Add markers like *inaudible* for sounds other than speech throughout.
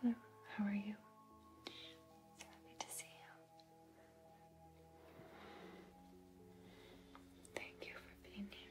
Hello, how are you? So happy to see you. Thank you for being here.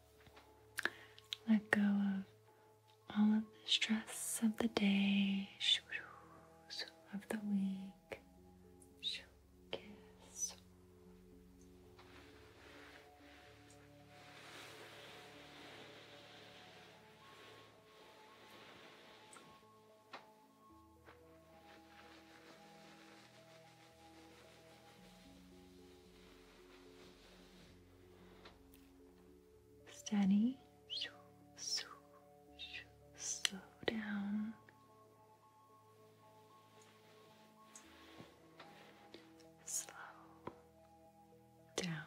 Let go of all of the stress of the day, of the week. Stanny, Steady. Slow down. Slow down.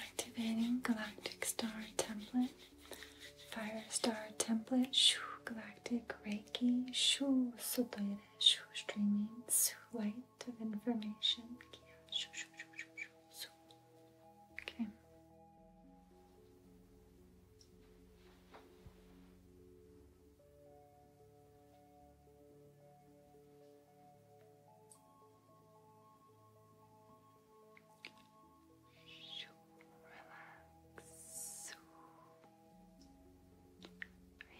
Activating Galactic Star Template. Fire Star Template. Shoo, galactic Reiki. Shoo, Sotoyere. Shoo, Streamings. Shoo, light of information. shoo, shoo, shoo, shoo, shoo. Okay.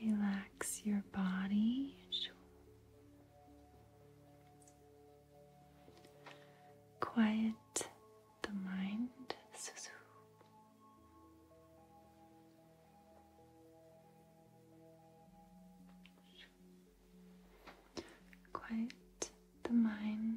Relax. Relax your body. Quiet the mind. Quiet the mind.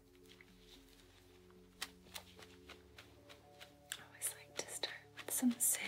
I always like to start with some sage.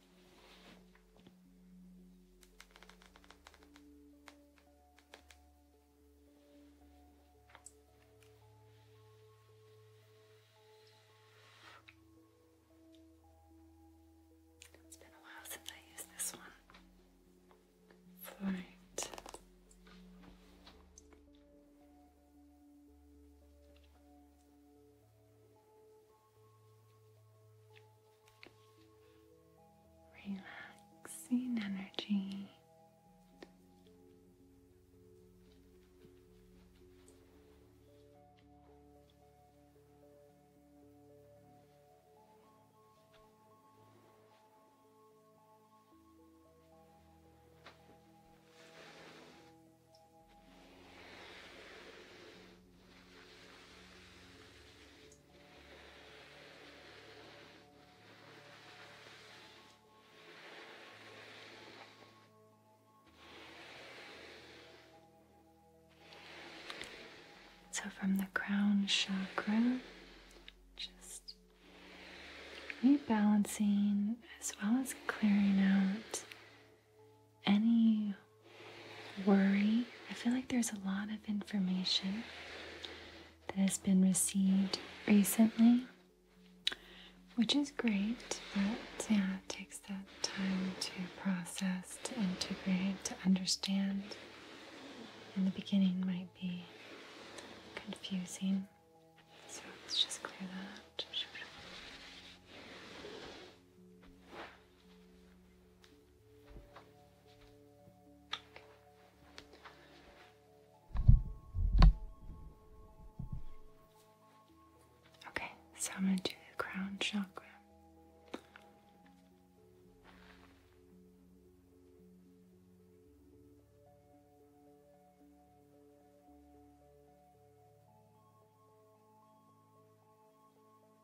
It's been a while since I used this one. Fluorite. Relaxing energy. So, from the crown chakra, just rebalancing as well as clearing out any worry. I feel like there's a lot of information that has been received recently, which is great, but yeah, it takes that time to process, to integrate, to understand. In the beginning, might be confusing. So let's just clear that. Okay, so I'm going to do the crown chakra.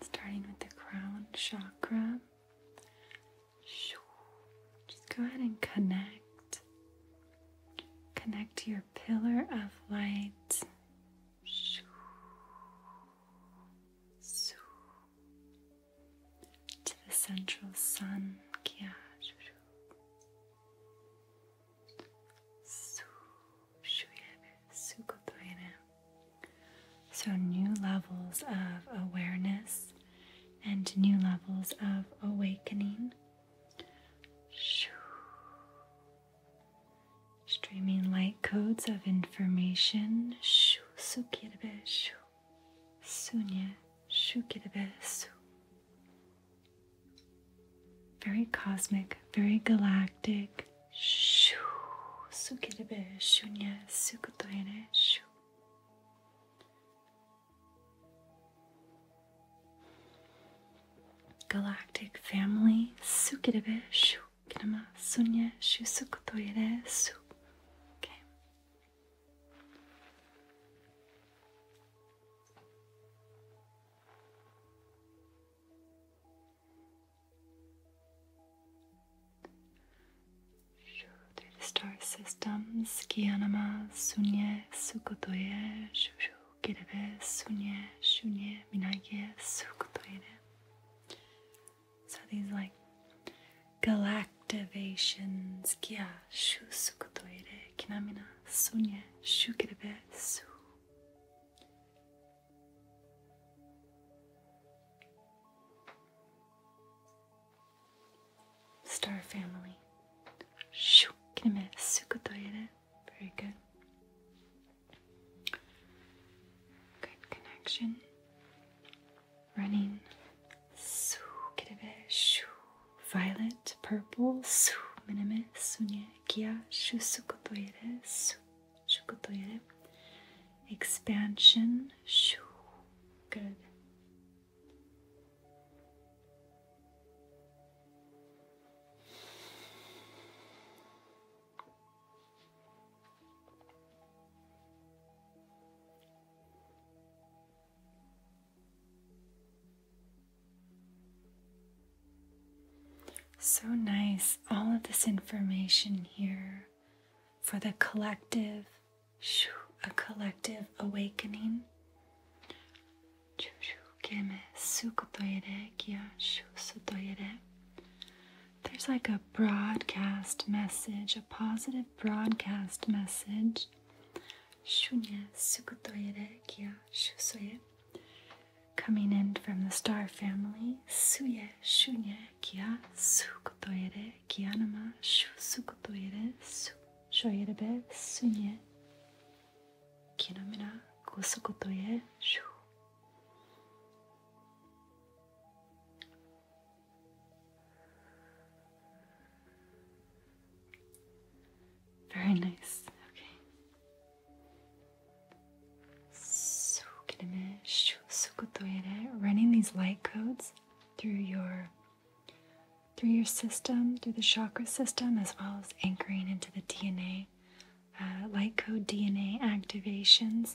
Starting with the crown chakra. Just go ahead and connect. Connect to your pillar of light. To the central sun. Kia. So, new levels of awareness and new levels of awakening. Streaming light codes of information. Sunya, very cosmic, very galactic. Shoo, sukirebe, shunya, sukutoine, shoo. Galactic family, sukirebe, shoo, kinama, sunya, shu, through the star systems, Kiyanama, Sunye, Sukotoye, Shushu, Kirebe, Sunye, Shunye, Minagye, Sukotoye. So these like galactications Kya, Shu, Sukotoye, Kinamina, Sunye, Shukirebe, Su. Star family. Shoo, kineme sukutoire. Very good. Good connection. Running. Su shoo. Violet, purple. Su minime sunye kia shoo sukutoire. Expansion. Shoo. Good. So nice, all of this information here for the collective, a collective awakening. There's like a broadcast message, a positive broadcast message. Coming in from the star family, Suye Shunye Kia Sukutoire Kianama Shu Sukutoire Su Shoyerebe Sunye Kinomina Kusukutoire Shu Very nice. Okay running these light codes through your through your system, through the chakra system, as well as anchoring into the DNA, uh, light code DNA activations.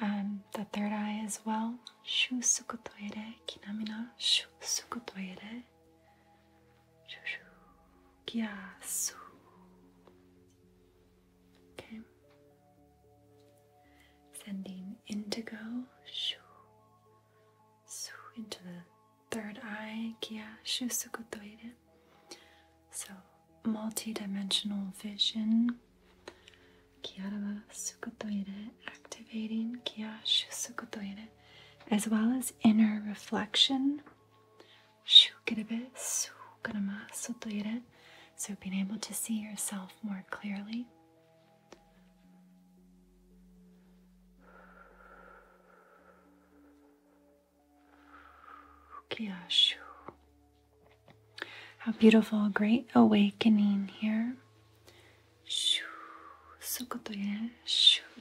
Um, the third eye as well. Shu sukutoire kinamina shu sukutoire. Shu shu kya su. Okay. Sending indigo shu shu into the third eye. kia shu sukutoire. So Multi-dimensional vision. Kiara wa activating kiara sukutoire, as well as inner reflection. Shukurebe sukurama sotoire, so being able to see yourself more clearly. How beautiful, great awakening here.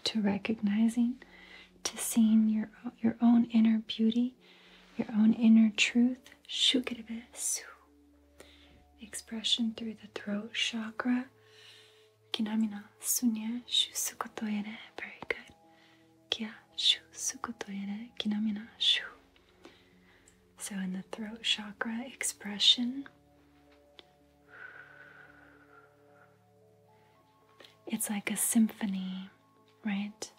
To recognizing, to seeing your, your own inner beauty, your own inner truth. Expression through the throat chakra. Very good. So in the throat chakra expression, it's like a symphony, right?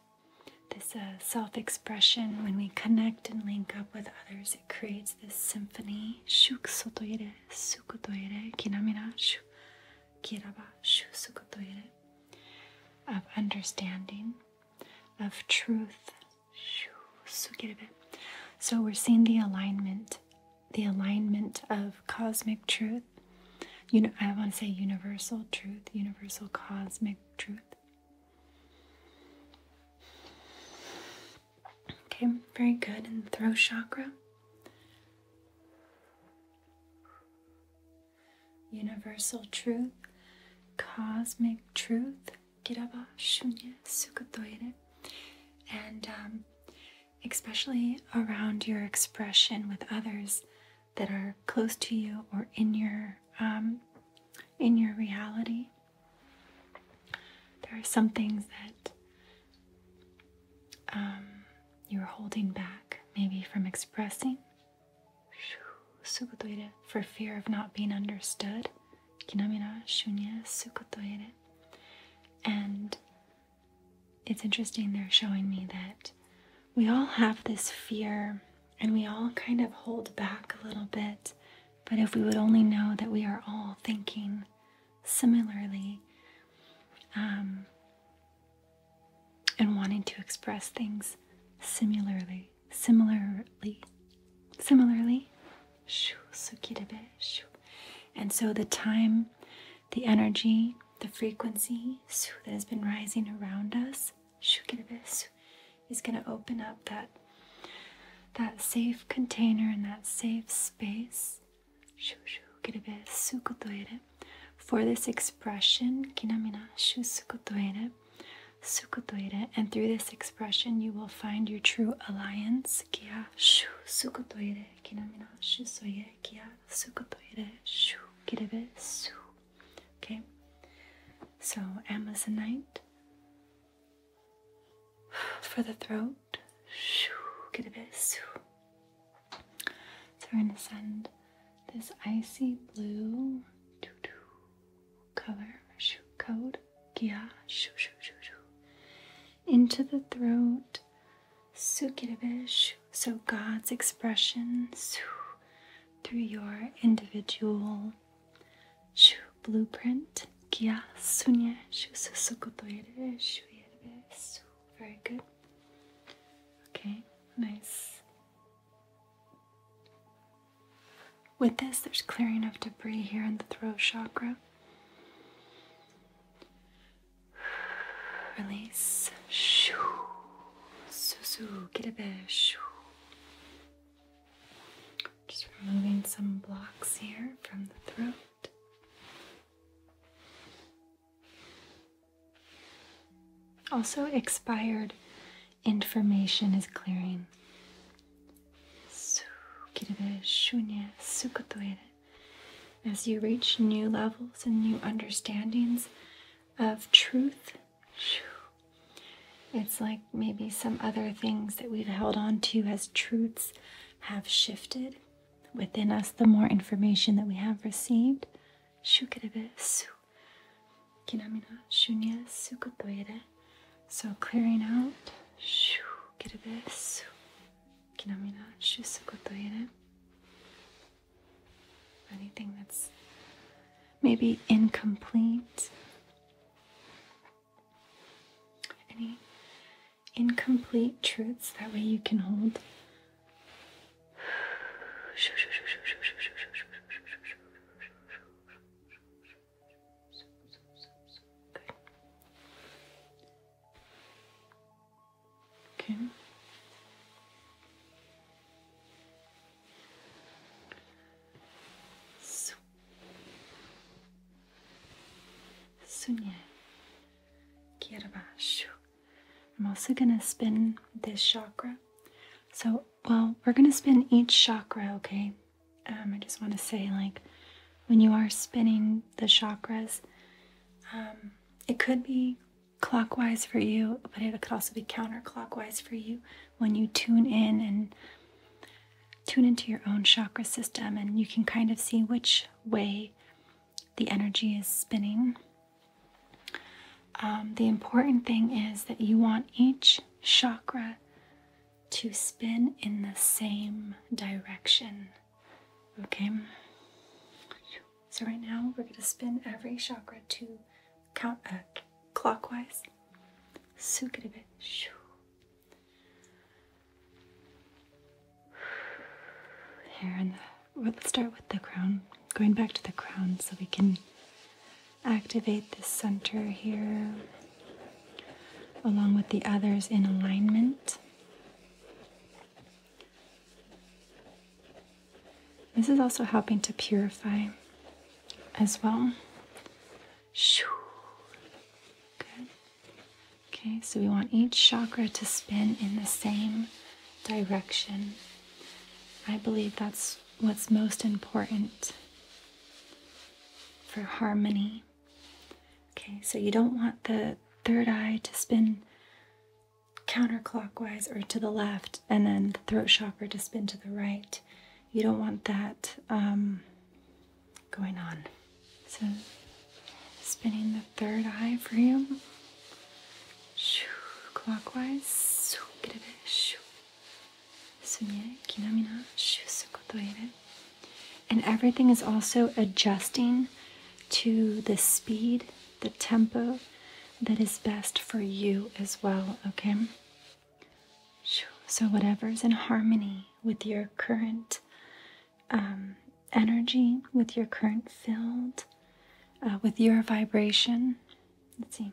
This uh, self expression, when we connect and link up with others, it creates this symphony. Shukutoire, sukutoire, kinamira, shu, kiraba, shu, sukutoire, of understanding, of truth. So we're seeing the alignment, the alignment of cosmic truth. You know, I want to say universal truth, universal cosmic truth. Okay, very good. And throat chakra. Universal truth, cosmic truth, Kiraba Shunya Sukutoire. And um, especially around your expression with others that are close to you or in your um, in your reality. There are some things that um, you're holding back, maybe from expressing for fear of not being understood. Kinamira shunya sukutoire. And it's interesting, they're showing me that we all have this fear and we all kind of hold back a little bit. But if we would only know that we are all thinking similarly, um, and wanting to express things similarly, similarly, similarly. And so the time, the energy, the frequency that has been rising around us is going to open up that that safe container and that safe space for this expression Sukutoire, and through this expression you will find your true alliance. Kia shu sukutoire, kinamina shu soye, kia sukutoire, shu kirebe su. Okay, so Amazonite *sighs* for the throat. Shu kirebe su. So we're going to send this icy blue color shoe code Gia shoo shoo shoo shoo into the throat sukirabish so God's expression through your individual shoo blueprint Gia sunya shoo very good okay nice with this, there's clearing of debris here in the throat chakra. Release. Shoo. Susu. get a Kitabe. Just removing some blocks here from the throat. Also, expired information is clearing. As you reach new levels and new understandings of truth, it's like maybe some other things that we've held on to as truths have shifted within us the more information that we have received. Kinamina shunya sukotoire. So clearing out. Shu kiridesu. Kinamina shu sukotoire. Anything that's maybe incomplete. Any incomplete truths. That way you can hold Okay. So. Sunya. I'm also going to spin this chakra. So well, we're going to spin each chakra, okay? Um, I just want to say, like, when you are spinning the chakras, um, it could be clockwise for you, but it could also be counterclockwise for you when you tune in and tune into your own chakra system, and you can kind of see which way the energy is spinning. Um, the important thing is that you want each chakra to spin in the same direction. Okay? So, right now we're going to spin every chakra to count uh, clockwise. Soak it a bit. Here, and let's start with the crown. Going back to the crown so we can activate the center here along with the others in alignment. This is also helping to purify as well. Shoo. Good. Okay, so we want each chakra to spin in the same direction. I believe that's what's most important for harmony. Okay, so you don't want the third eye to spin counterclockwise or to the left, and then the throat chakra to spin to the right. You don't want that um, going on. So, spinning the third eye for you. Shoo, clockwise. Shoo, get it, shoo. And everything is also adjusting to the speed, the tempo that is best for you as well, okay? So, whatever's in harmony with your current um, energy, with your current field, uh, with your vibration, Let's see.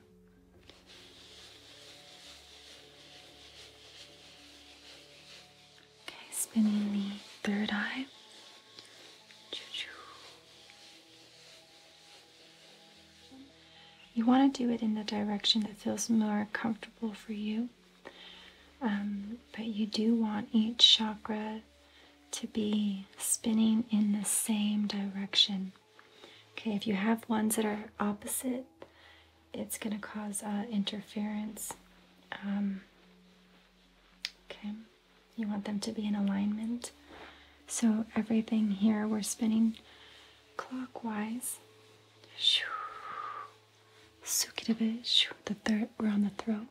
Okay, spinning the third eye. You want to do it in the direction that feels more comfortable for you, um, but you do want each chakra to be spinning in the same direction. Okay, if you have ones that are opposite, it's going to cause uh, interference. Um, okay, you want them to be in alignment. So everything here we're spinning clockwise. The third, we're on the throat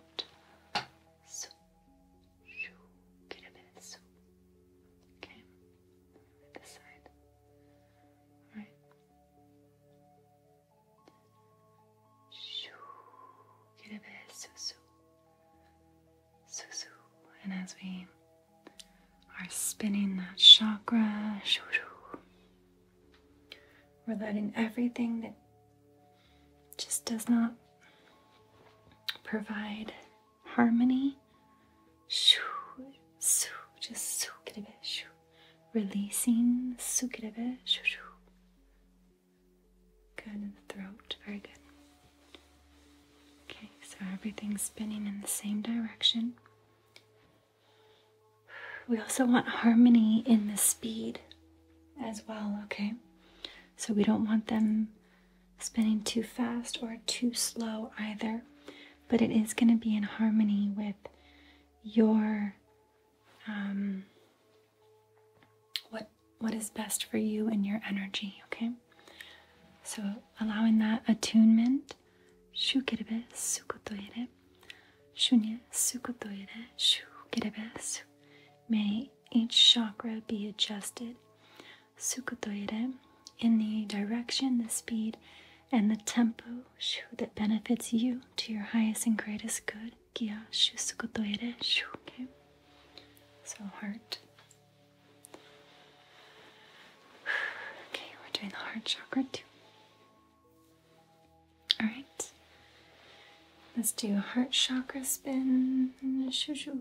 this side. Alright. Shoo. Get a bit susu. Susu. And as we are spinning that chakra, shoo, we're letting everything that just does not provide harmony. Shoo, just Releasing Good in the throat, very good. Okay, so everything's spinning in the same direction. We also want harmony in the speed as well, okay? So we don't want them spinning too fast or too slow either, but it is going to be in harmony with your um, what what is best for you and your energy. Okay, so allowing that attunement. Shu kirebe sukotoire, shunya sukotoire, shu May each chakra be adjusted Sukutoire in the direction, the speed, and the tempo shu, that benefits you to your highest and greatest good. Kia shu sukutoire Okay. So heart. Okay, we're doing the heart chakra too. Alright. Let's do heart chakra spin. Shu shu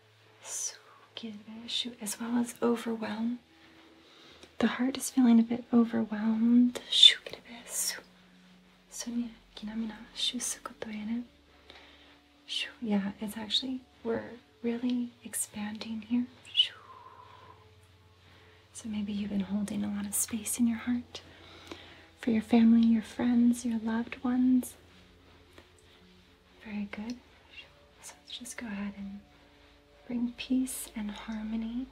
Sukireshu, as well as overwhelm. The heart is feeling a bit overwhelmed. Yeah, it's actually, we're really expanding here. So maybe you've been holding a lot of space in your heart for your family, your friends, your loved ones. Very good. So let's just go ahead and bring peace and harmony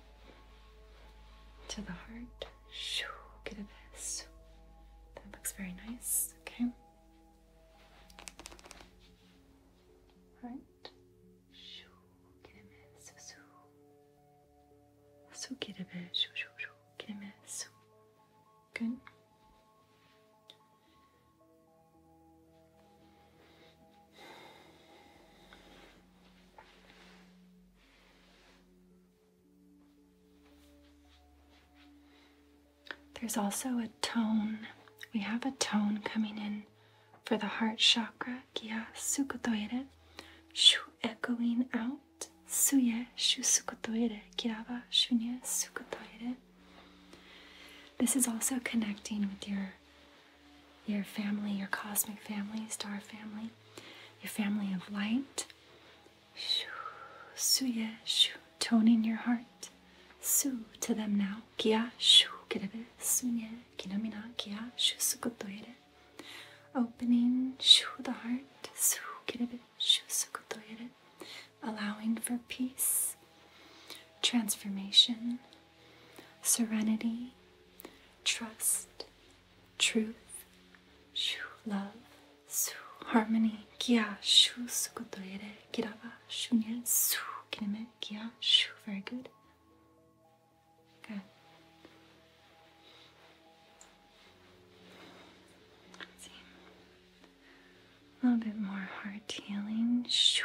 to the heart. Shoo, get a this. That looks very nice. Okay. Right. Shoo, get a this. So, get a bit. Shoo, shoo, shoo, get a this. Good. There's also a tone. We have a tone coming in for the heart chakra, kia sukotoire, shu echoing out, suye shu sukotoire, kiraba shunye sukotoire. This is also connecting with your your family, your cosmic family, star family, your family of light. Shoo, suye, shoo, tone in your heart. Su to them now. Kia shu kirebe sunye kinamina kia shu sukutoire. Opening shu the heart. Su kirebe shu sukutoire allowing for peace, transformation, serenity, trust, truth, love, harmony, Kia shu shu. very good. Good. Let's see. A little bit more heart healing. Shu.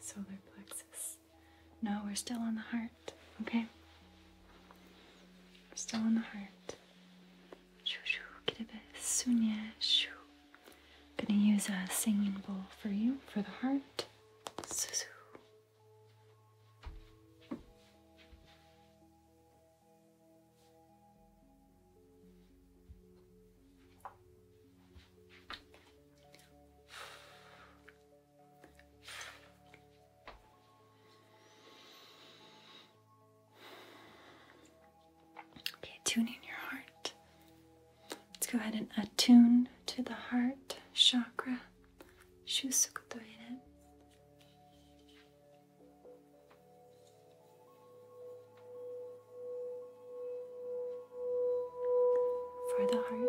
solar plexus. No, we're still on the heart, okay? We're still on the heart. i shoo. gonna use a singing bowl for you, for the heart. Okay, tune in your heart. Let's go ahead and attune to the heart chakra for the heart.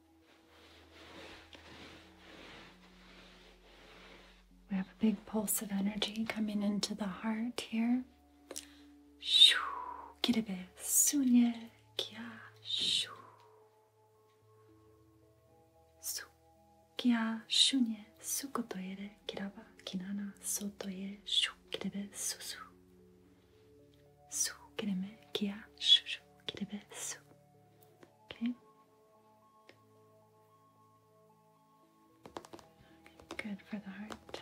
We have a big pulse of energy coming into the heart here. Shoo, kirebe, sunye, kya, shoo. Su, kya, shunye, sukotoere, kiraba, kinana, sotoye, shoo, kirebe, susu. Su, kireme, kya, shushu, kirebe, su. Okay. Good for the heart.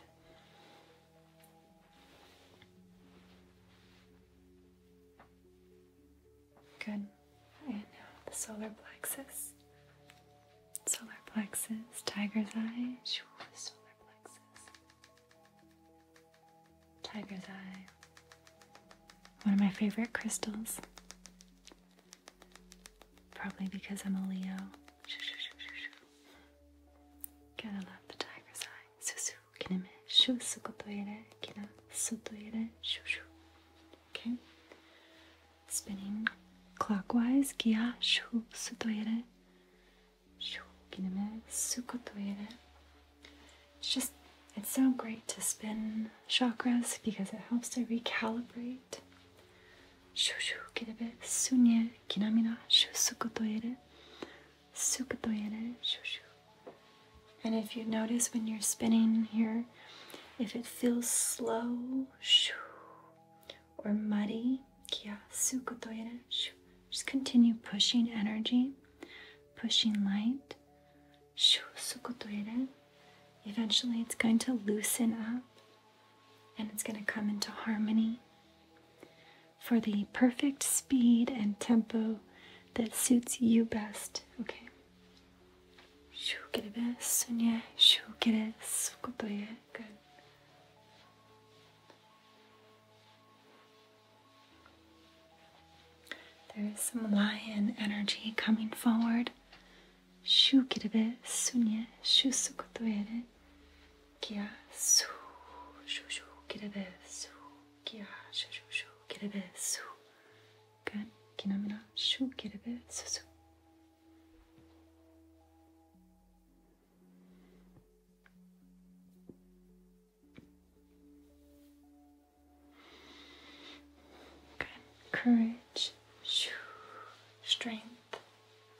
Good. And now the solar plexus. Solar plexus, tiger's eyes. solar plexus tiger's eye, one of my favorite crystals. Probably because I'm a Leo. Gotta love the tiger's eye. Okay. Spinning clockwise kia it's just, it's so great to spin chakras because it helps to recalibrate. Shoo shoo, get Shushu kirebe sunye kinamina shoo shusukutoere shoo shoo. And if you notice when you're spinning here, if it feels slow shoo, or muddy, kia sukutoere shoo, just continue pushing energy, pushing light, Eventually, it's going to loosen up and it's going to come into harmony. For the perfect speed and tempo that suits you best, okay? get get it, yeah. Good. There is some lion energy coming forward. Shu kirebe sunye shu kia su shu shu kirebe su kia shu shu shu kirebe su good kinamina shu kirebe su su Good. Courage. Strength.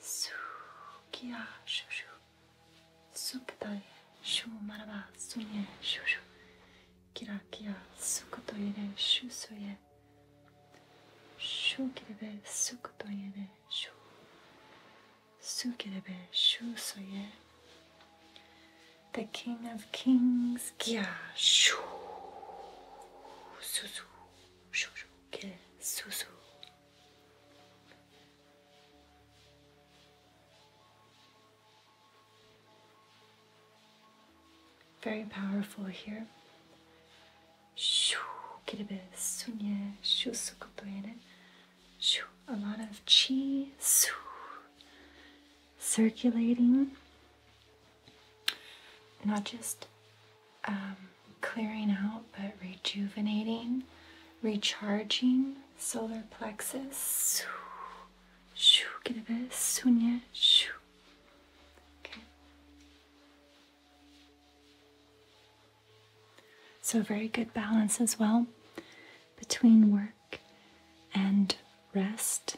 Sukiya. Shoo shoo. Supataya. Shoo maraba. Sunye. Shoo shoo. Kirakiya. Sukotoye. Shoo soye the King of Kings. Kya shu suzu shu shu ke Very powerful here. Shu kirebe sunye shu sukutoyene. Shu a lot of chi su circulating, not just um, clearing out, but rejuvenating, recharging solar plexus. So, very good balance as well between work and rest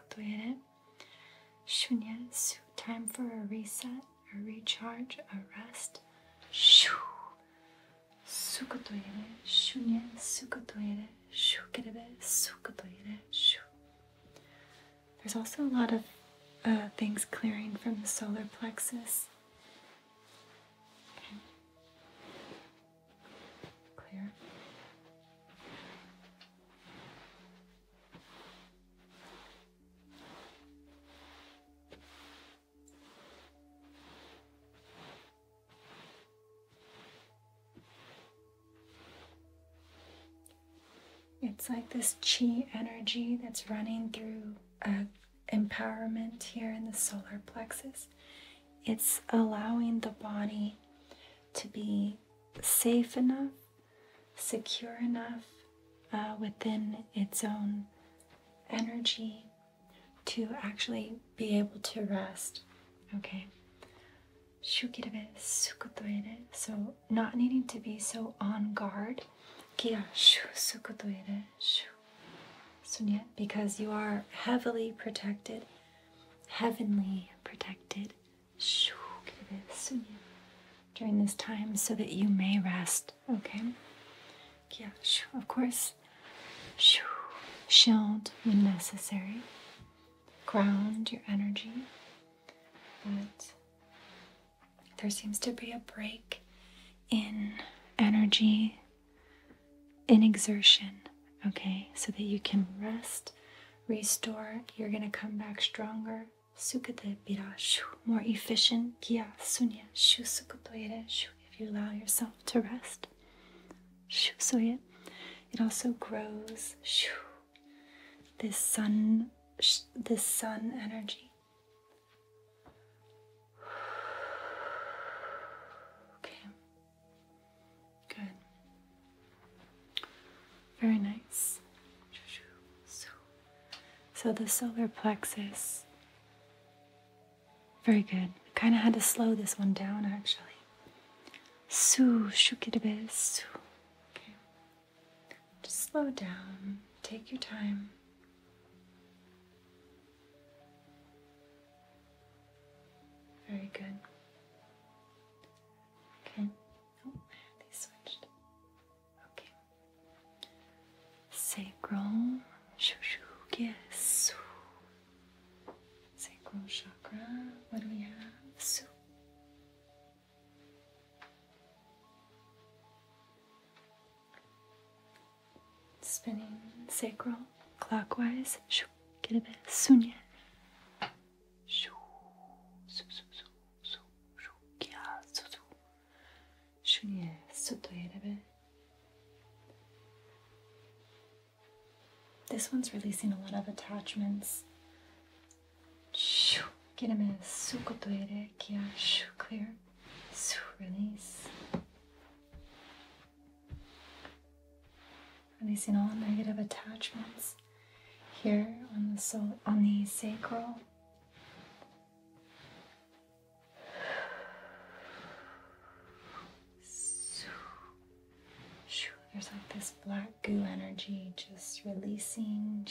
shunya Time for a reset, a recharge, a rest. Shu. Sukotoire, shunya sukotoire, shukerebe sukotoire, shu. There's also a lot of uh, things clearing from the solar plexus. Clear. It's like this chi energy that's running through empowerment here in the solar plexus. It's allowing the body to be safe enough, secure enough uh, within its own energy to actually be able to rest. Okay. So, not needing to be so on guard. So, because you are heavily protected heavenly protected during this time so that you may rest, okay? Yeah, of course. Shield when necessary. Ground your energy. But there seems to be a break in energy in exertion, okay? So that you can rest, restore, you're gonna come back stronger. More efficient. If you allow yourself to rest. It also grows this sun this sun energy. Okay. Good. Very nice. So the solar plexus. Very good. Kind of had to slow this one down actually. Su shukitabe su. Okay. Just slow down. Take your time. Very good. Oh, sacral Shushukisu. Sacral chakra. What do we have? Su. Spinning sacral clockwise. Shoo. Get a bit. Sunya. This one's releasing a lot of attachments. Get gireme su kotoyere kia shoo clear. release releasing all negative attachments here on the soul on the sacral. There's like this black goo energy just releasing.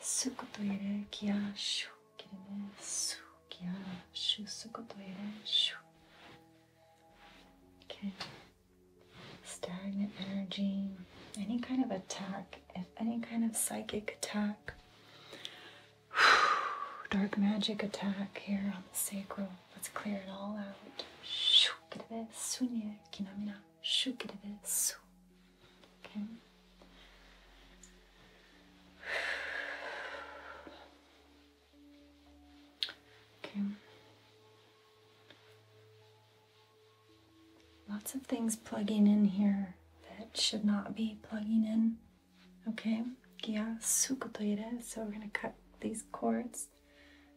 Sukutoire kia shu kirime su kia shu sukutoire shu. Okay stagnant energy, any kind of attack, if any kind of psychic attack, *sighs* dark magic attack here on the sacral. Let's clear it all out. *sighs* Okay. Lots of things plugging in here that should not be plugging in. Okay. So we're going to cut these cords,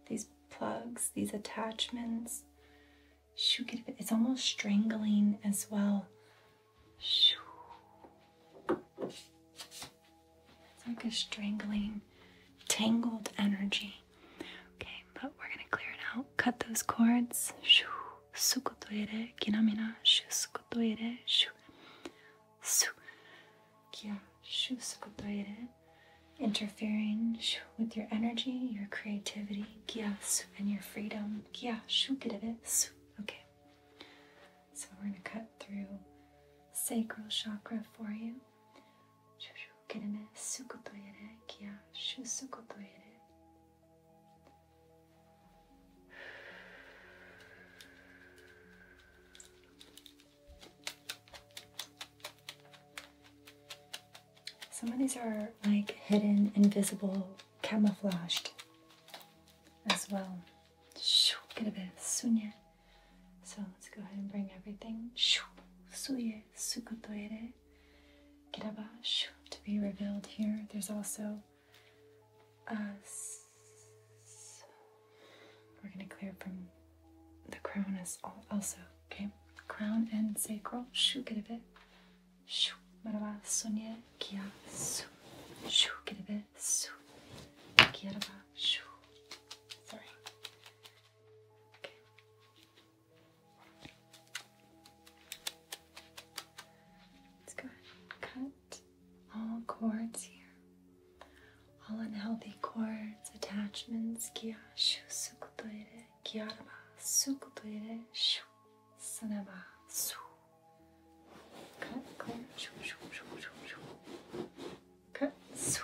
these plugs, these attachments. It's almost strangling as well. It's like a strangling, tangled energy. Okay, but we're gonna clear it out. Cut those cords. Shoo. Shoo. kinamina, shu sukutoire, Shoo. Su. Kia, shu sukutoire. Interfering with your energy, your creativity, kia, su, and your freedom. Kia, shu, kirebe, su. Okay. So we're gonna cut through sacral chakra for you. Some of these are like hidden, invisible, camouflaged as well. Şu kelime sunye. So let's go ahead and bring everything suye sukotoire kiraba to be revealed here. There's also us. Uh, we're going to clear from the crown as also, okay? Crown and sacral shu kiraba shu maraba sunye kia su shu kiraba su kiraba shu. Sorry. Let's go ahead and cut all cords here. All unhealthy cords, attachments, kya shu sukutoire, kyaraba sukutoire, shu sanaba su. Cut, clear, shu, shu, shu, shu, shu. Cut, su.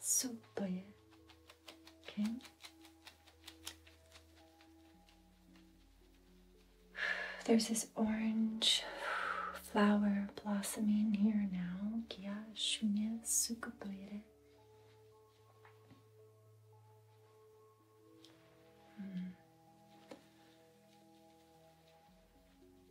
super okay there's this orange flower blossoming here now Mm.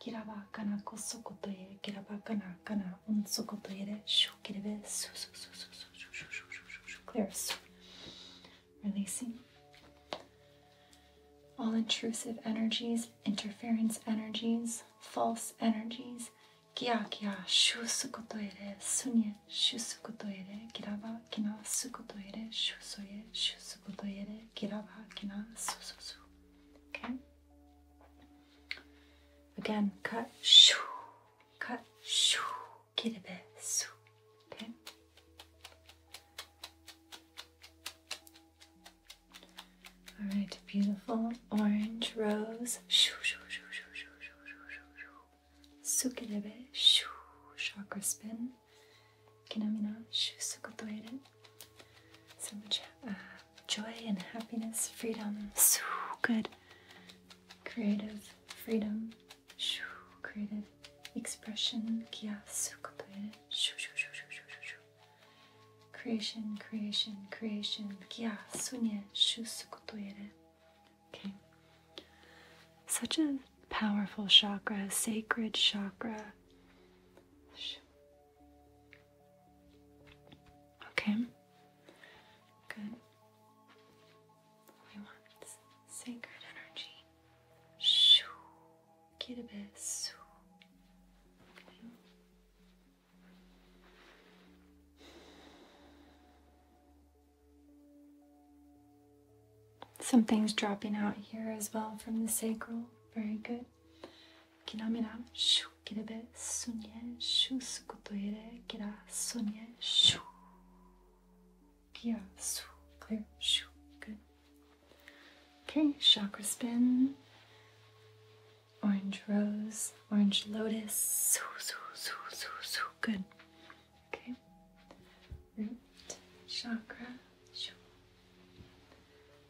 Kirabakana kosokotoye, kirabakana kana unsokotoyere, shukirebe, su su su su su su su su su su su clear su. Releasing all intrusive energies, interference energies, false energies. Kia kia shu sukotoyere, sunye shu sukotoyere, kiraba kina sukotoyere, shu soye shu sukotoyere, kiraba kina su su su. Okay. Again, cut, shoo, cut, shoo, kiribe, su. Okay. All right, beautiful orange rose. Shoo, shoo, shoo, shoo, shoo, shoo, shoo, shoo, shoo. Sukirebe, shoo, chakra spin. Nicki Minaj, Sukotoyeren. So much uh, joy and happiness, freedom, so good. Creative freedom, shoo, creative expression, kia, sukotoyeren, shoo, shoo, shoo, shoo, shoo, shoo. Creation, creation, creation, kia, sunye, shoo, sukotoyeren. Okay. Such a powerful chakra, sacred chakra. Okay. Good. We want sacred energy. Shoo. Kiribis. Okay. Something's dropping out here as well from the sacral. Very good qui namina shu be. sunye shu sukotoire kira sunye shu kia su clear shu good okay chakra spin orange rose orange lotus su su su su su good okay root chakra shu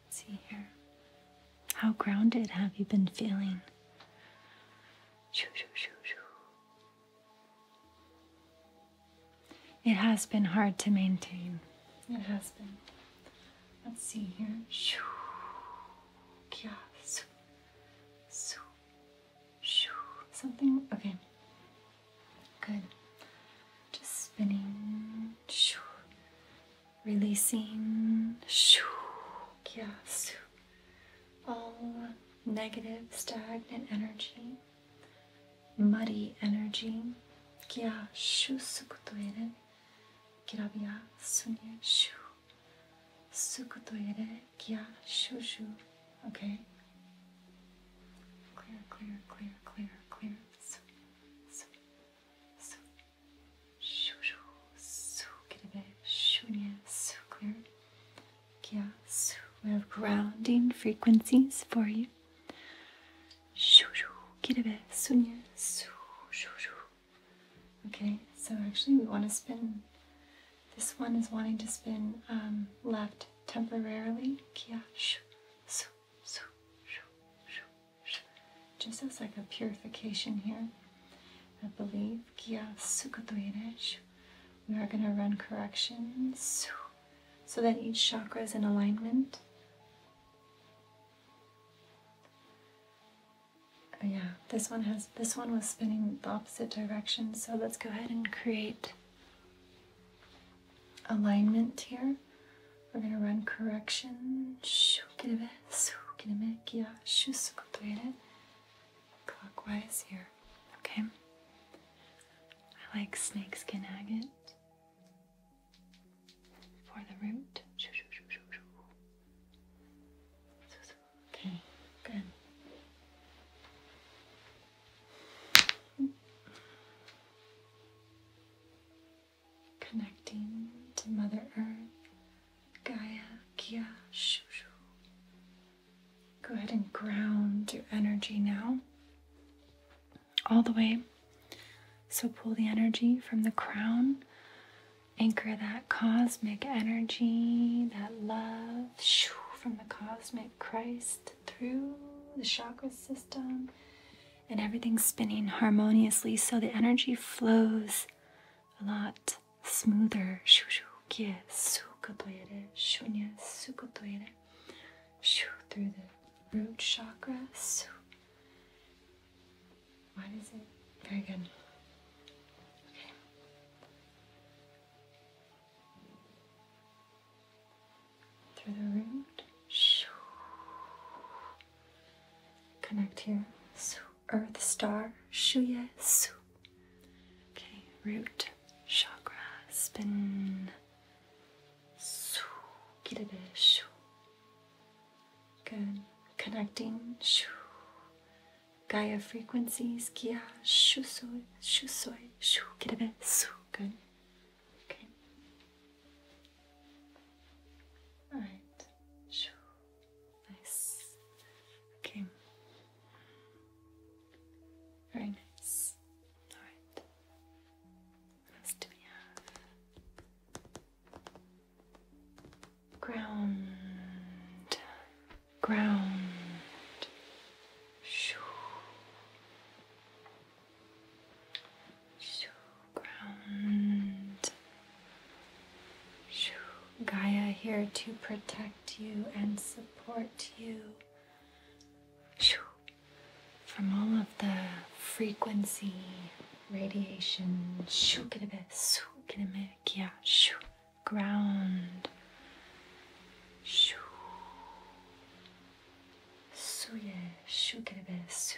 see here. How grounded have you been feeling? It has been hard to maintain. It has been. Let's see here. Something. Okay. Good. Just spinning, releasing, yes, all negative, stagnant energy, muddy energy, kya sukutoire, kirabia sunye shu, sukutoire kya shushu, okay? Clear, clear, clear, clear, clear. So shu shu, su, kirebe, shunya, So clear, yeah. We have grounding frequencies for you. Shu shu, kirebe, sunya, su, shu shu. Okay, so actually we want to spin. This one is wanting to spin um, left temporarily. Kya, shu, just as like a purification here, I believe. We are going to run corrections so that each chakra is in alignment. Oh, yeah, this one has this one was spinning the opposite direction, so let's go ahead and create alignment here. We're going to run correction. a a bit. bit. Yeah. Clockwise here. Okay. I like snakeskin agate for the root. Okay, good connecting to Mother Earth, Gaia, Kia, Shushu. Go ahead and ground your energy now, all the way. So pull the energy from the crown, anchor that cosmic energy, that love, from the cosmic Christ through the chakra system and everything's spinning harmoniously, so the energy flows a lot smoother. Through the root chakras. Why does it? Very good. Okay. Through the root. Connect here. Su, earth, star, shuye, su. Okay, root, chakra, spin. get a kirebe, shu. Good. Connecting, shu. Gaia frequencies, kia, shu soy, shu soy, shu, kirebe, su. Good. Okay. All right. Shoo. Nice. Okay. Very nice. All right. What else do we Ground. Ground. Shoo. Shoo, ground. Shoo, Gaia here to protect you and support you. Shoo, from all of the frequency, radiation. Shoo, yeah, shoo, ground. Shoo. Suye, shoo, shoo.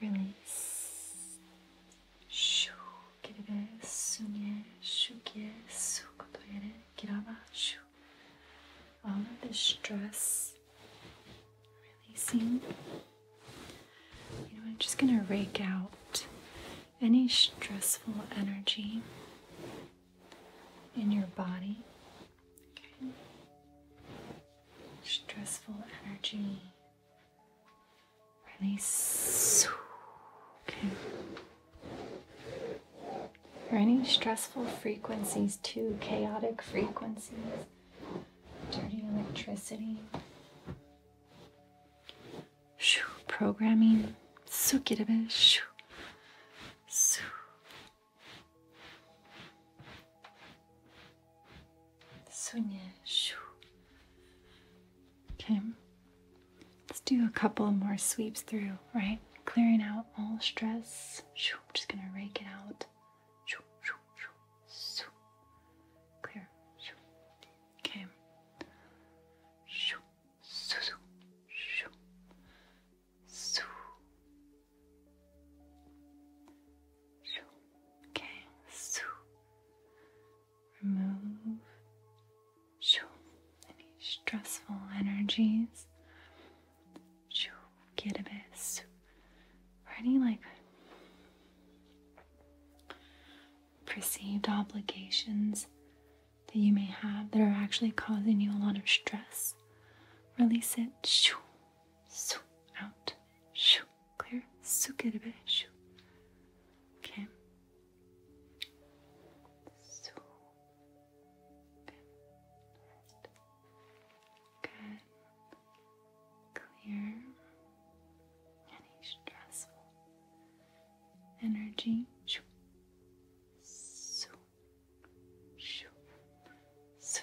Release. Shoo, kirebe, sunye, shukye, sukotoyere, kiraba, shu. All of the stress releasing. You know, I'm just going to rake out any stressful energy in your body. Okay stressful energy really okay. or any stressful frequencies too chaotic frequencies dirty electricity shoo, programming shoo, shoo. Sunya. Okay. Let's do a couple more sweeps through, right? Clearing out all stress. just gonna rake it out. Shoo, shoo, shoo. Clear. Shoo. Okay. Okay, so remove any stressful energies. Get a bit or any like perceived obligations that you may have that are actually causing you a lot of stress. Release it out clear. Su Okay. So good. Clear any stressful energy. So, so, so,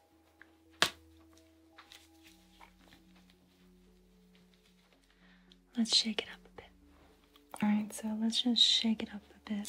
Let's shake it up a bit. Alright, so let's just shake it up a bit.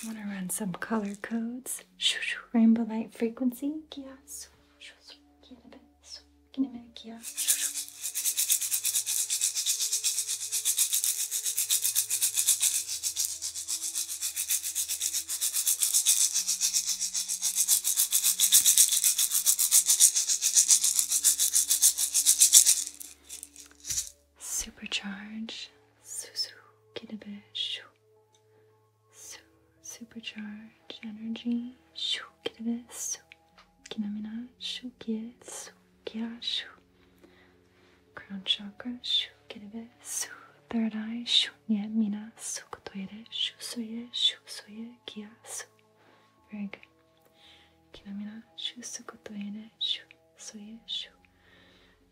I want to run some color codes. Rainbow light frequency. Pequena aqui, ó. Supercharge, Susu, Kitabe, supercharge energy, Shoo, Kitabe, que namina shu kie su kira shu. Crown chakra shu kirebe su. Third eye shu nye mina su kotoire shu suye shu suye kia su. Very good. Kinamina shu su kotoire shu suye shu.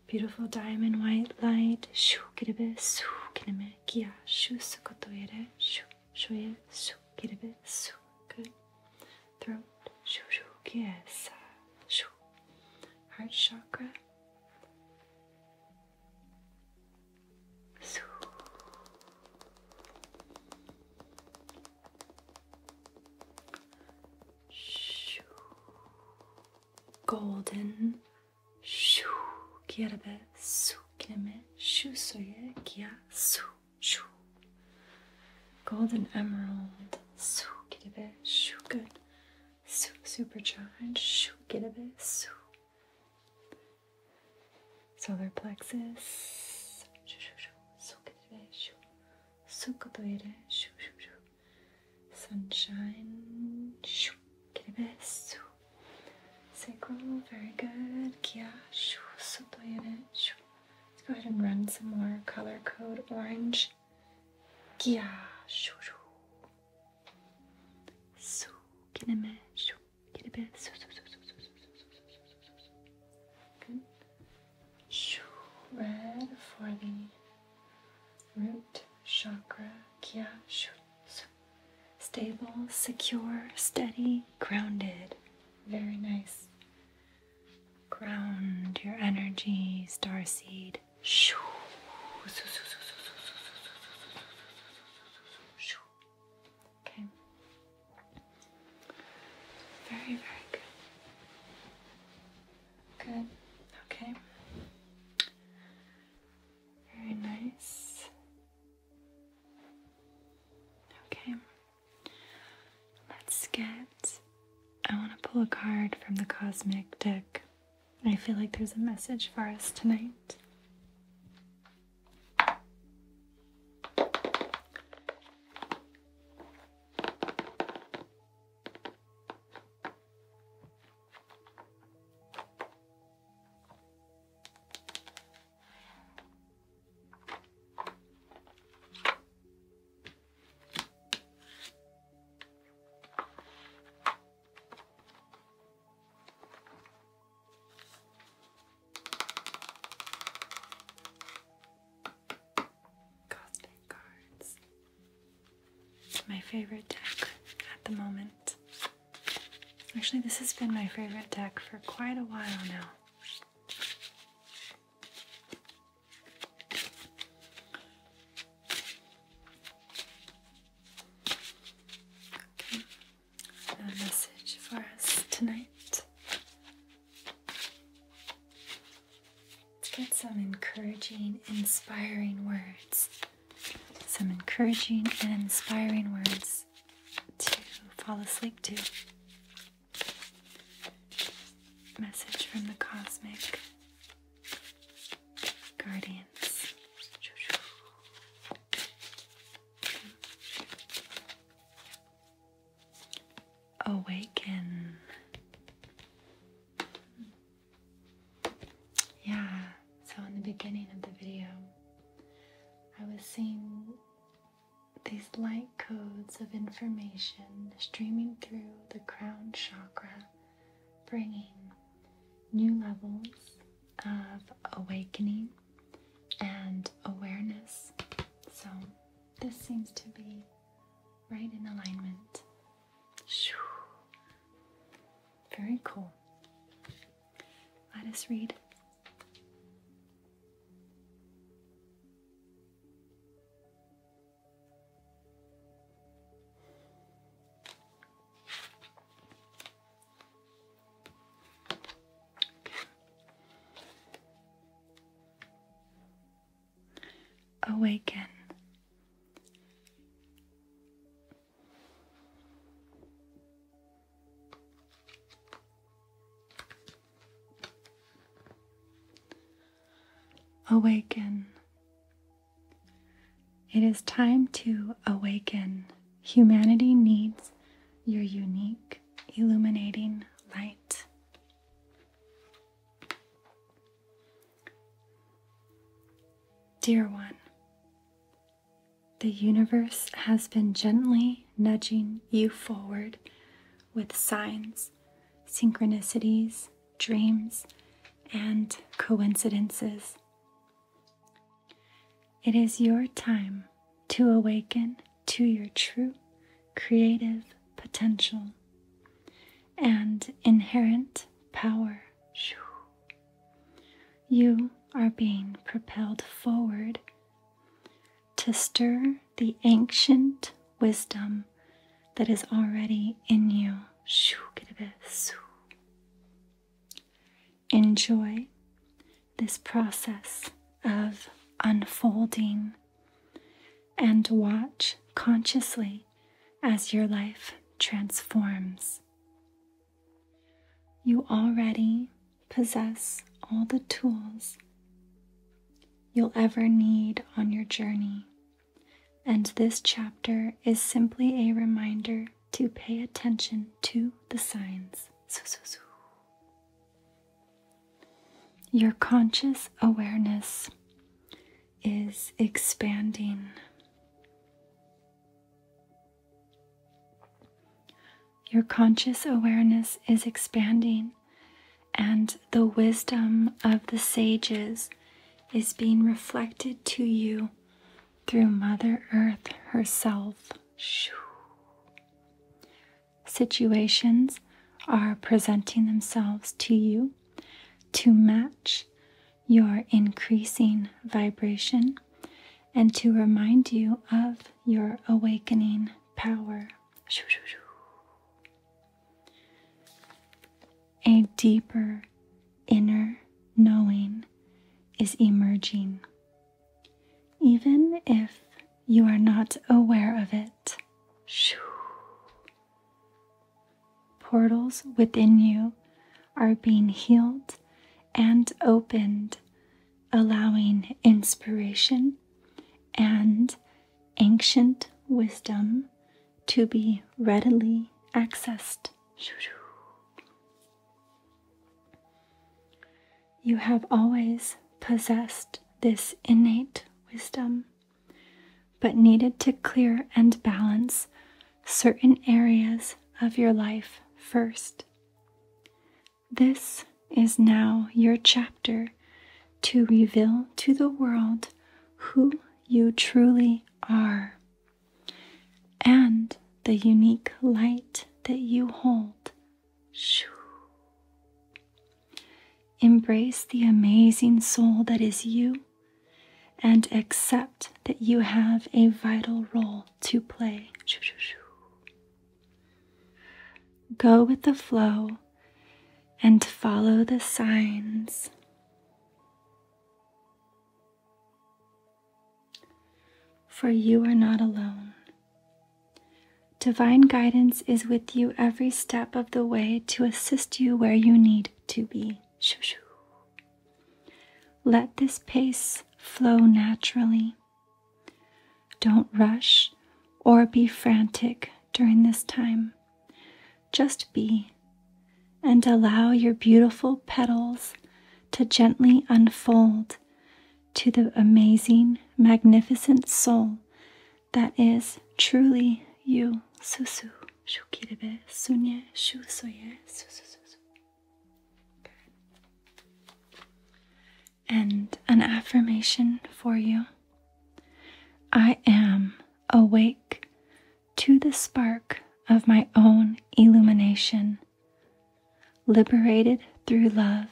Beautiful diamond white light shu kirebe su kiname kia shu su kotoire shu suye su kirebe su. Good throat, shoo Shu, yes, shoo, heart chakra, Shu, Shoo. Golden Shoo Kierbe Su Kime Shu Soye Kia Shu shoo. Golden emerald, shoo, get a bit, shoo, good. Shoo, supercharged, shoo, get a bit, shoo. Solar plexus, shoo, shoo, shoo, shoo, get a bit, shoo. Sukatoire, shoo, shoo, shoo. Sunshine, shoo, get a bit, shoo. Sacral, very good. Kia, shoo, sutoire, shoo. Let's go ahead and run some more color code orange. Kia shuru. Su kineme shu kinebe su su su su su su su su su su su su Good. Shu red for the root chakra. Kia shu su. Stable, secure, steady, grounded. Very nice ground your energy, star seed. Okay. Very, very good. Good. Okay. Very nice. Okay. Let's get. I want to pull a card from the Cosmic deck. I feel like there's a message for us tonight. Cosmic cards. My favorite deck at the moment. Actually, this has been my favorite deck for quite a while now. A message for us tonight. Let's get some encouraging, inspiring words. Some encouraging and inspiring words to fall asleep to. Message from the Cosmic Guardians. Awaken. Yeah, so in the beginning of the video, I was seeing these light codes of information streaming through the crown chakra, bringing new levels of awakening and awareness. So, this seems to be right in alignment. Very cool. Let us read Awaken. Awaken. It is time to awaken. Humanity needs your unique, illuminating light. Dear one, the universe has been gently nudging you forward with signs, synchronicities, dreams, and coincidences. It is your time to awaken to your true creative potential and inherent power. You are being propelled forward to stir the ancient wisdom that is already in you. Enjoy this process of unfolding and watch consciously as your life transforms. You already possess all the tools you'll ever need on your journey. And this chapter is simply a reminder to pay attention to the signs. Your conscious awareness is expanding. Your conscious awareness is expanding and the wisdom of the sages is being reflected to you through Mother Earth herself. Situations are presenting themselves to you to match your increasing vibration and to remind you of your awakening power. A deeper inner knowing is emerging, even if you are not aware of it. Portals within you are being healed and opened, allowing inspiration and ancient wisdom to be readily accessed. You have always possessed this innate wisdom, but needed to clear and balance certain areas of your life first. This is now your chapter to reveal to the world who you truly are and the unique light that you hold. Shoo. Embrace the amazing soul that is you and accept that you have a vital role to play. Shoo, shoo, shoo. Go with the flow and follow the signs. For you are not alone. Divine guidance is with you every step of the way to assist you where you need to be. Shoo, Let this pace flow naturally. Don't rush or be frantic during this time. Just be and allow your beautiful petals to gently unfold to the amazing, magnificent soul that is truly you. Susu. Shukirebe. Sunye. Shusoye. And an affirmation for you. I am awake to the spark of my own illumination, liberated through love,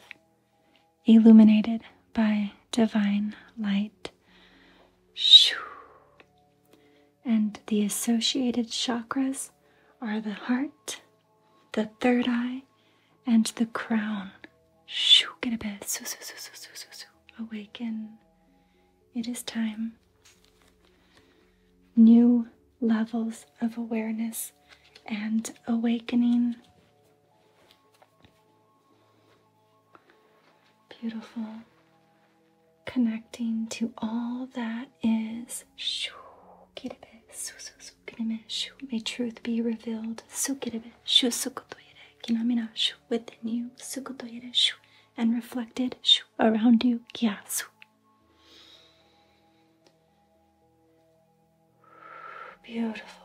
illuminated by divine light. Shoo. And the associated chakras are the heart, the third eye, and the crown Shoo, get a bed. Soo, soo, soo, soo, soo, soo, soo. Awaken. It is time. New levels of awareness and awakening. Beautiful. Connecting to all that is. Shoo, get a bit. May truth be revealed. Sukirebe, shusukutoire within you and reflected shu around you. Beautiful.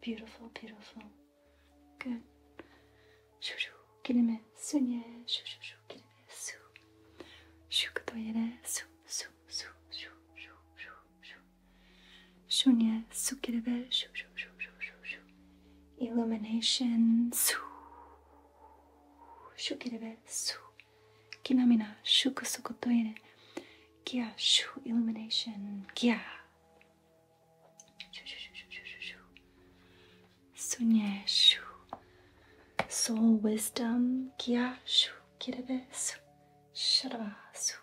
Beautiful, beautiful. Good. shu, shu, shu shu shu kilime su. Shu kutoyere su su su, su, su, su, su. Shunya sukirave, shu, shu, shu, shu, shu, shu. Illumination, su. Shukirave, su. Kinamina, shuku sukotoire. Kia, shu, illumination, kia. Shu, shu, shu, shu, shu, shu. Sunya, shu. Soul wisdom, kia, shu. Kiravesu, Shravasu,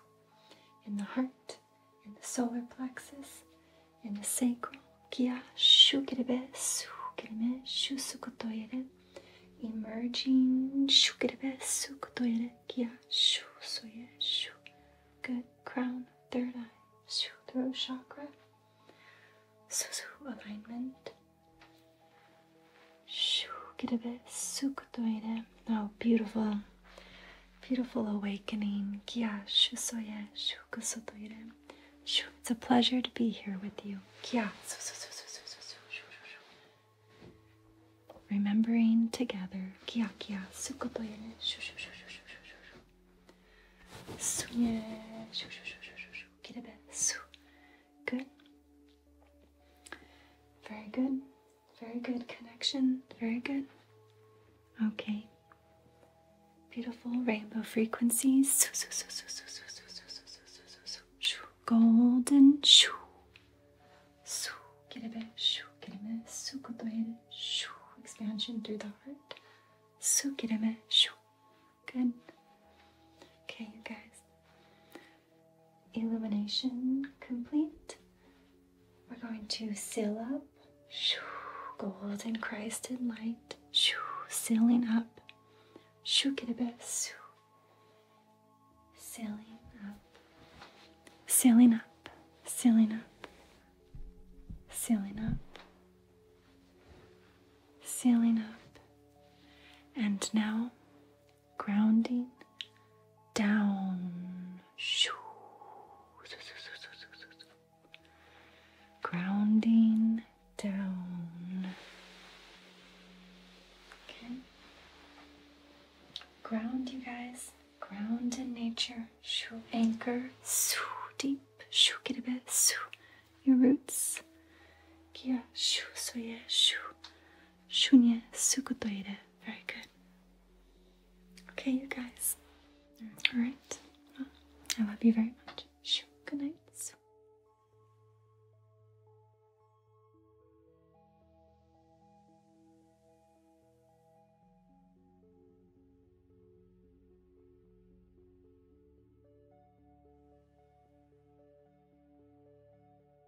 in the heart, in the solar plexus, in the sacral, Kia Shukiravesu, Kirime Shusukotoire, emerging, Shukiravesu Kotoire, Kia Shusoye Shu, good crown, third eye, Shu, throat chakra, Susu alignment. Shoo, get a bit sukutoire. Oh, beautiful, beautiful awakening. Kia shusoye shukusotoire. Shoo, it's a pleasure to be here with you. Kia. Remembering together. Kia kia sukutoire. Shoo shoo shoo shoo shoo shoo shoo. Sunye shoo shoo shoo shoo shoo. Get a bit su. Good. Very good. Very good connection. Very good. Okay. Beautiful rainbow frequencies. Golden. Expansion through the heart. Good. Okay, you guys illumination complete. We're going to seal up. Shoo, golden Christ light. Shoo, sealing up. Shoo, get a bit. Shoo. Sealing up. Sealing up. Sealing up. Sealing up. Sealing up. And now grounding down. Grounding down. Okay. Ground, you guys. Ground in nature. Shoo. Anchor. Shoo. Deep. Shoo. Get a bit. Shoo. Your roots. Kia. Shoo. So yeah. Shoo. Shunya Sukutoire. Very good. Okay, you guys. Alright. I love you very much. Good night.